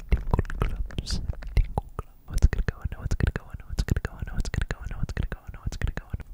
Tingle Clubs. gonna go, I know gonna go, I know gonna go, I know gonna go, I know gonna go, I know gonna go.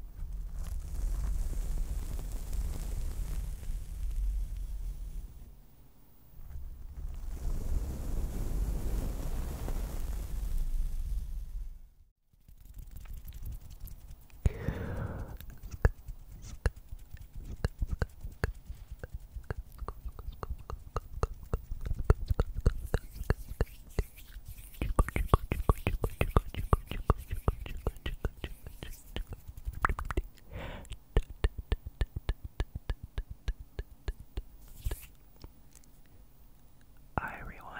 Hi everyone.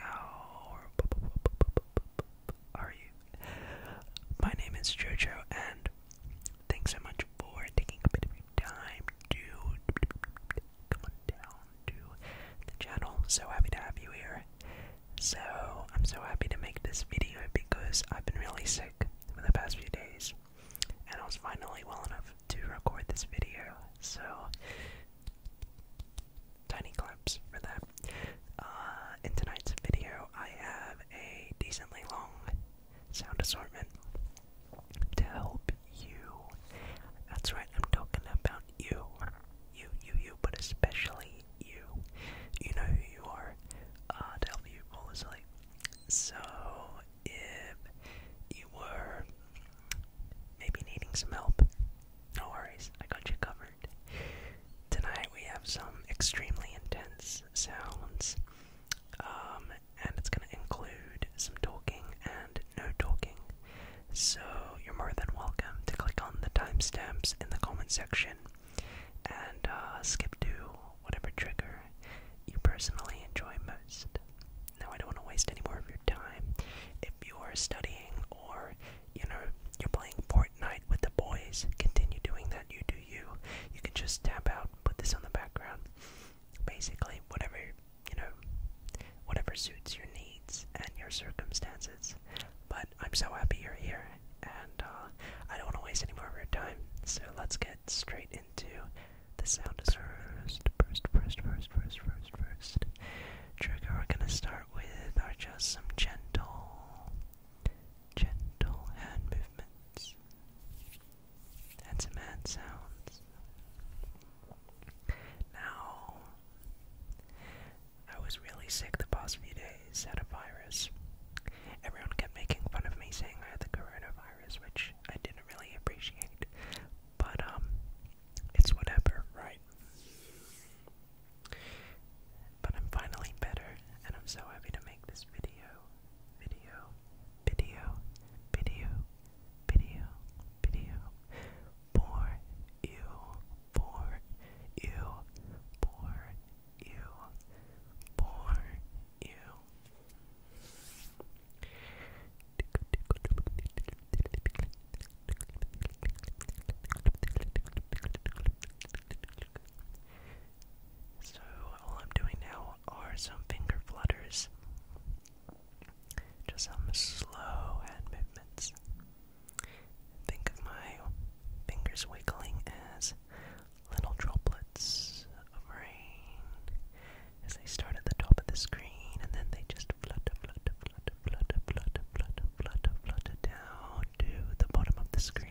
Ow are you? My name is Jojo, and thanks so much for taking a bit of your time to come on down to the channel. So happy to have you here. So, I'm so happy to make this video because I've been really sick for the past few days, and I was finally well enough to record this video. So, tiny claps for that. Uh, in tonight's video, I have a decently long sound assortment to help you. That's right, I'm talking about you. You, you, you, but especially you. You know who you are uh, to help you fall So, if you were maybe needing some help, no worries, I got you covered. Tonight we have some extremely intense sounds. Um, and it's going to include some talking and no talking. So you're more than welcome to click on the timestamps in the comment section and uh, skip to whatever trigger you personally enjoy most. Now, I don't want to waste any more of your time. If you are studying or, you know, you're playing Fortnite with the boys, continue doing that. You do you. You can just tap out, put this on the background. Basically, whatever you know, whatever suits your needs and your circumstances. But I'm so happy you're here, and uh, I don't want to waste any more of your time. So let's get straight into the sound first, first, first, first, first, first, first. Trigger. We're gonna start with are uh, just some gentle gentle hand movements, and some hand sounds. Now, I was really sick the past few days, had a virus. Everyone kept making fun of me saying I had the coronavirus, which I didn't really appreciate. But, um, it's whatever, right? But I'm finally better, and I'm so happy to make this video. Video, video, video, video, video. For you, for you, for you, for you. So all I'm doing now are some finger flutters. Just some slow hand movements. Think of my fingers wiggling as little droplets of rain as they start at the top of the screen and then they just flutter, flutter, flutter, flutter, flutter, flutter, flutter, down to the bottom of the screen.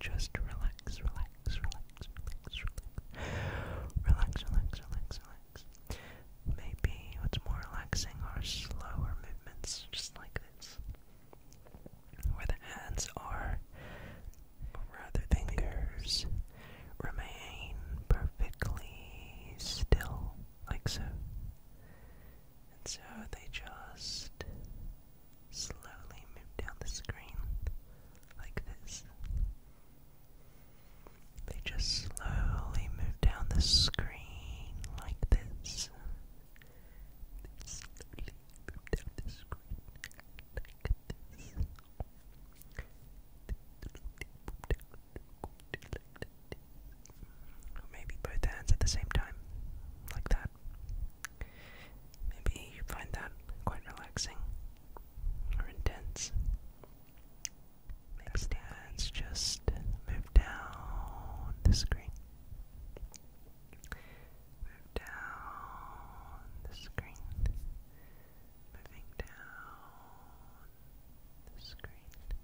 Just relax, relax, relax, relax, relax, relax, relax, relax, relax. Maybe what's more relaxing are slower movements, just like this, where the hands are, or rather fingers, remain perfectly still, like so. And so they just slowly move down the screen like this. They just slowly move down the screen like this. slowly move down the screen like this. Or maybe both hands at the same time, like that. Maybe you find that quite relaxing or intense. Maybe the hands just move down the screen. Move down the screen. Moving down the screen.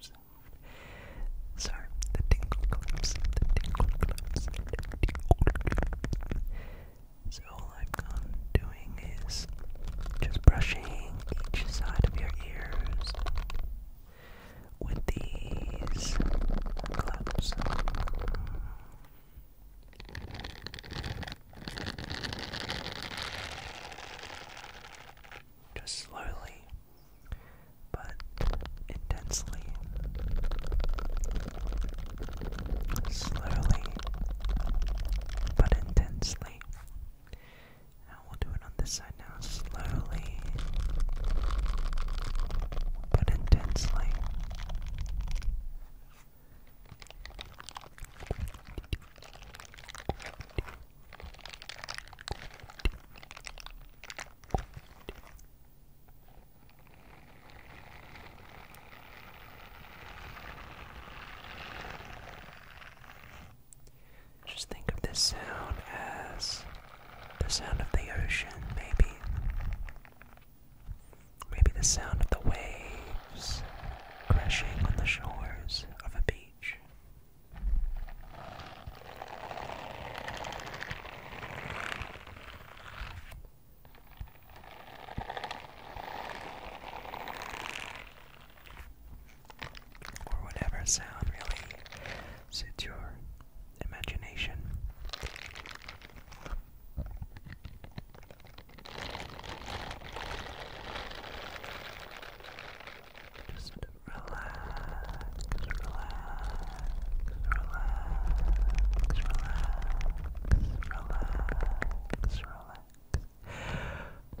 gloves. Sorry, the tingle gloves. The tingle gloves. The tingle gloves. So all I've doing is just brushing each side of your ears with these gloves just slowly but intensely. Slowly but intensely. Now we'll do it on this side now. Slowly but intensely. Just think of this sound as the sound of the ocean, maybe. Maybe the sound of the waves crashing on the shores of a beach. Or whatever sound really suits your imagination. Just relax, relax, relax, relax, relax, relax. Relax,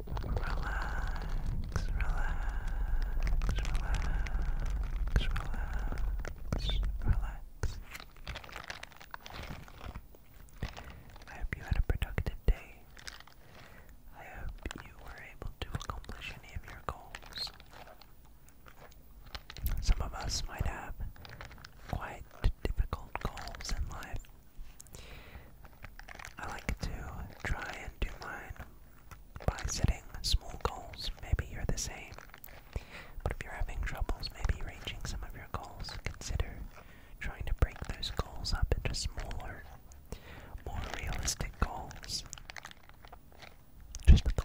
relax, relax, relax, relax. I hope you had a productive day. I hope you were able to accomplish any of your goals. Some of us might have quite difficult goals in life. I like to try and do mine by setting small goals. Maybe you're the same. But if you're having troubles maybe reaching some of your goals, consider trying to break those goals up into smaller more realistic goals. Just a thought.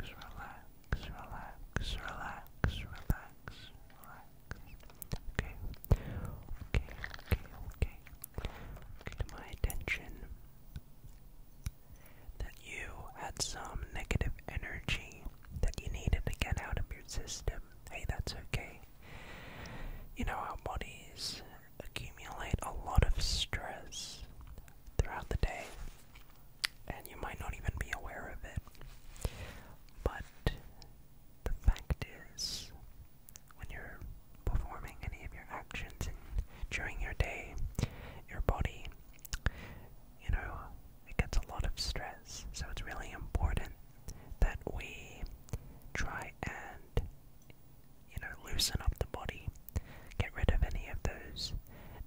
relax, relax, relax, relax, relax. Okay, okay, okay, okay. Get my attention that you had some negative energy that you needed to get out of your system. Hey, that's okay. You know, our bodies accumulate a lot of stress throughout the day and you might not even be aware of it. But the fact is, when you're performing any of your actions during your day, your body, you know, it gets a lot of stress. So it's really important that we try and, you know, loosen up the body Get rid of any of those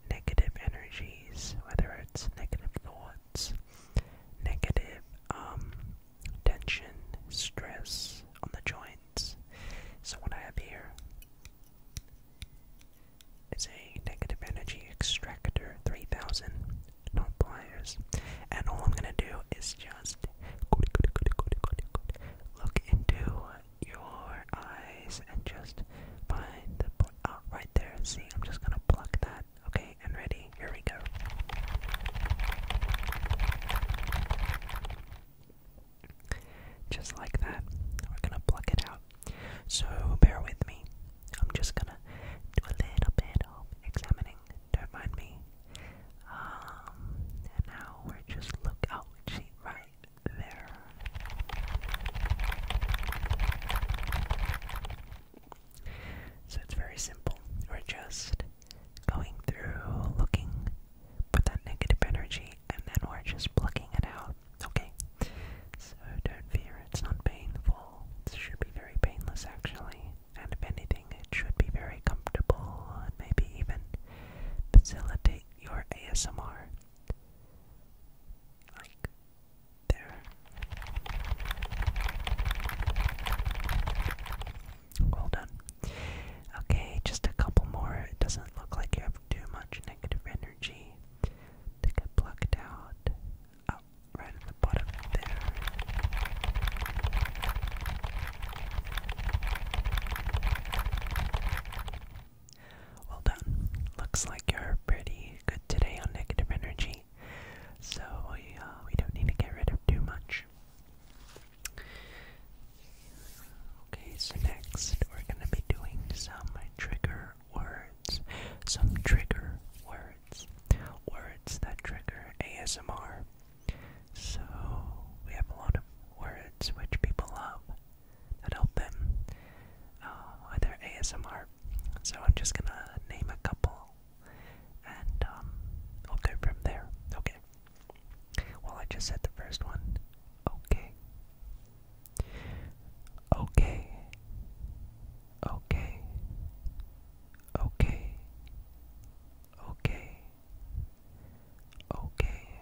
negative energies, whether it's negative thoughts, negative um, tension, stress on the joints. So, what I have here is a negative energy extractor 3000 not and all i'm going to do is just look into your eyes and just find the point. Oh, right there. and See, I'm just gonna pluck that. Okay, and ready. Here we go. Just like that. We're gonna pluck it out. So bear with me. I'm just gonna do a little bit of examining. Don't mind me. Um, and now we're just look out. Oh, right, there. So it's very simple. We're just going through, looking for that negative energy, and then we're just plucking it out. Okay? So don't fear, it's not painful. It should be very painless, actually. And if anything, it should be very comfortable and maybe even facilitate your ASMR. Like there. Well done. Okay, just a couple more. It doesn't look like you have too much negative energy to get plucked out. Up oh, right at the bottom there. Well done. Looks like you're pretty good today on negative energy, so we, we don't need to get rid of too much. Okay, so next we're going to be doing some trigger words. Some trigger words. Words that trigger ASMR. So we have a lot of words which people love that help them uh, with their ASMR. So I'm just gonna name a couple, and um, we'll go from there. Okay. Well, I just said the first one. Okay. Okay. Okay. Okay. Okay. Okay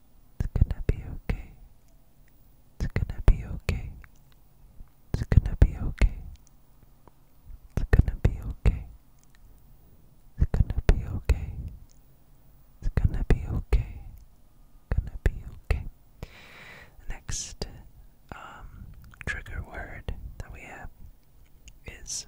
It's gonna be okay. It's gonna be okay. It's gonna be okay. It's gonna be okay. It's gonna be okay. It's gonna be okay. Gonna be okay. Next um, trigger word that we have is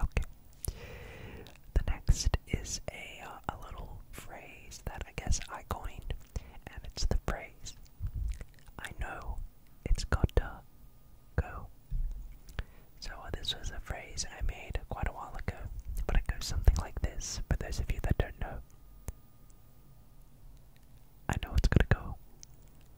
Okay. The next is a uh, a little phrase that I guess I coined, and it's the phrase "I know it's gotta go." So uh, this was a phrase I made quite a while ago, but it goes something like this. For those of you that don't know, I know it's gonna go.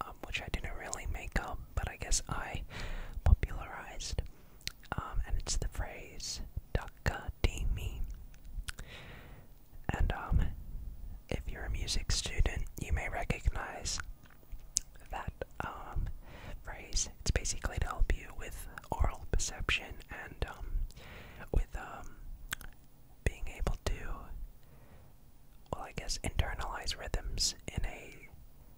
Um, which I didn't really make up, but I guess I popularized. Um, and it's the phrase "dakadimi," and um, if you're a music student, you may recognize that phrase. It's basically to help you with oral perception and with being able to, well, I guess internalize rhythms in a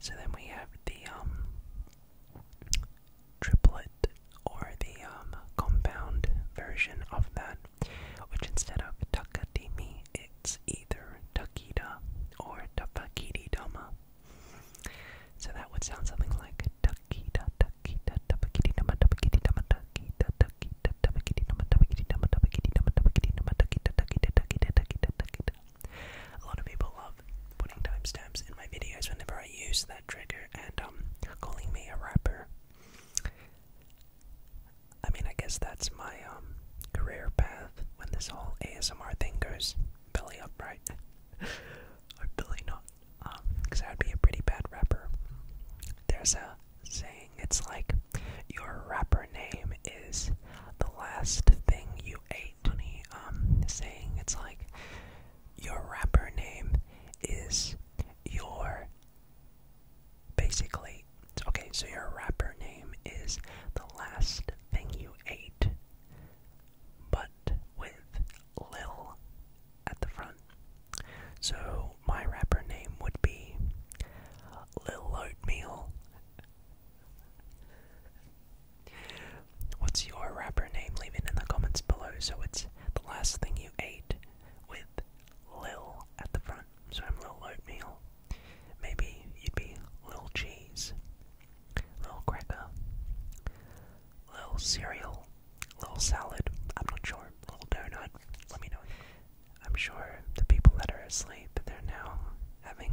So then we have the um triplet or the um compound version of that, which instead of takadimi, it's either takita or tapakiri so that would sound something like ducky da ducky da ducky da ducky da ducky da ducky da ducky da ducky da ducky da ducky da ducky da ducky da ducky da ducky da ducky da. A lot of people love putting timestamps in my videos whenever I use that trigger and um calling me a rapper. I mean, I guess that's my um career path when this whole ASMR thing goes belly upright. Hopefully not, um, because that would be a pretty bad rapper. There's a saying, it's like, your rapper name is the last thing you ate, honey. Um, saying, it's like, your rapper name is your, basically, okay, so your rapper name is the last thing you ate but with Lil at the front. So my rapper name would be Lil Oatmeal. What's your rapper name? Leave it in the comments below. So it's the last thing you ate with Lil at the front. So I'm Lil Oatmeal. Maybe you'd be Lil Cheese little cracker, little cereal, little salad, I'm not sure, little donut, let me know. I'm sure the people that are asleep, they're now having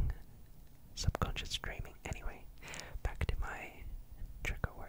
subconscious dreaming. Anyway, back to my trigger words.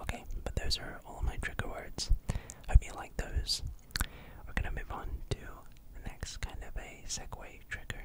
Okay, but those are all my trigger words. Hope you like those. We're gonna move on to the next kind of a segue trigger.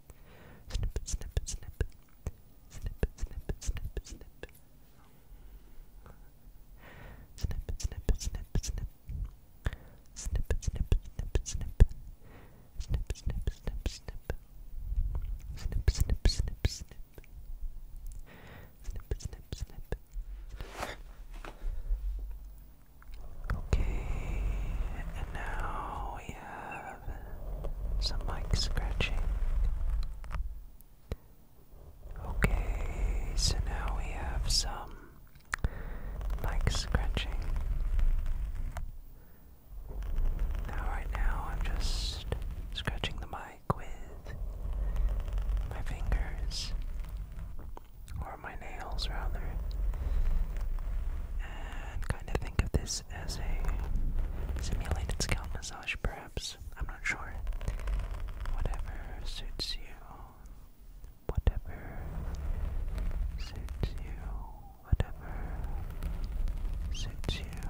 Snip, snip, snip. Snip, snip, snip, snip. Snip, snip, snip, snip. Snip, snip, snip, snip. Snip, snip, snip, snip. Snip, snip, snip, snip. Snip, snip, snip. Okay, and now we have some mic scratching. Okay, so now we have some mic scratching. Now, right now, I'm just scratching the mic with my fingers, or my nails rather, and kind of think of this as a simulated scalp massage, perhaps. I'm not sure. Whatever suits you. Whatever suits you. Whatever suits you.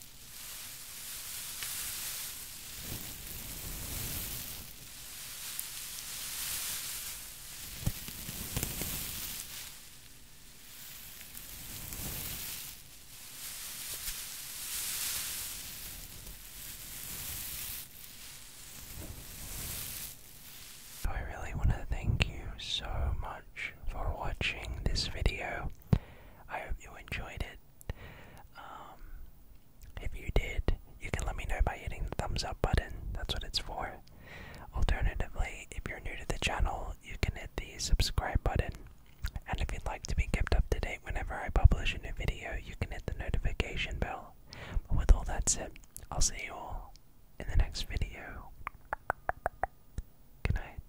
I really want to thank you so much for watching this video. I hope you enjoyed it. Um, if you did, you can let me know by hitting the thumbs up button. That's what it's for. Alternatively, if you're new to the channel, you can hit the subscribe button. And if you'd like to be kept up to date whenever I publish a new video, you can hit the notification bell. But with all that said, I'll see you all in the next video. Good night.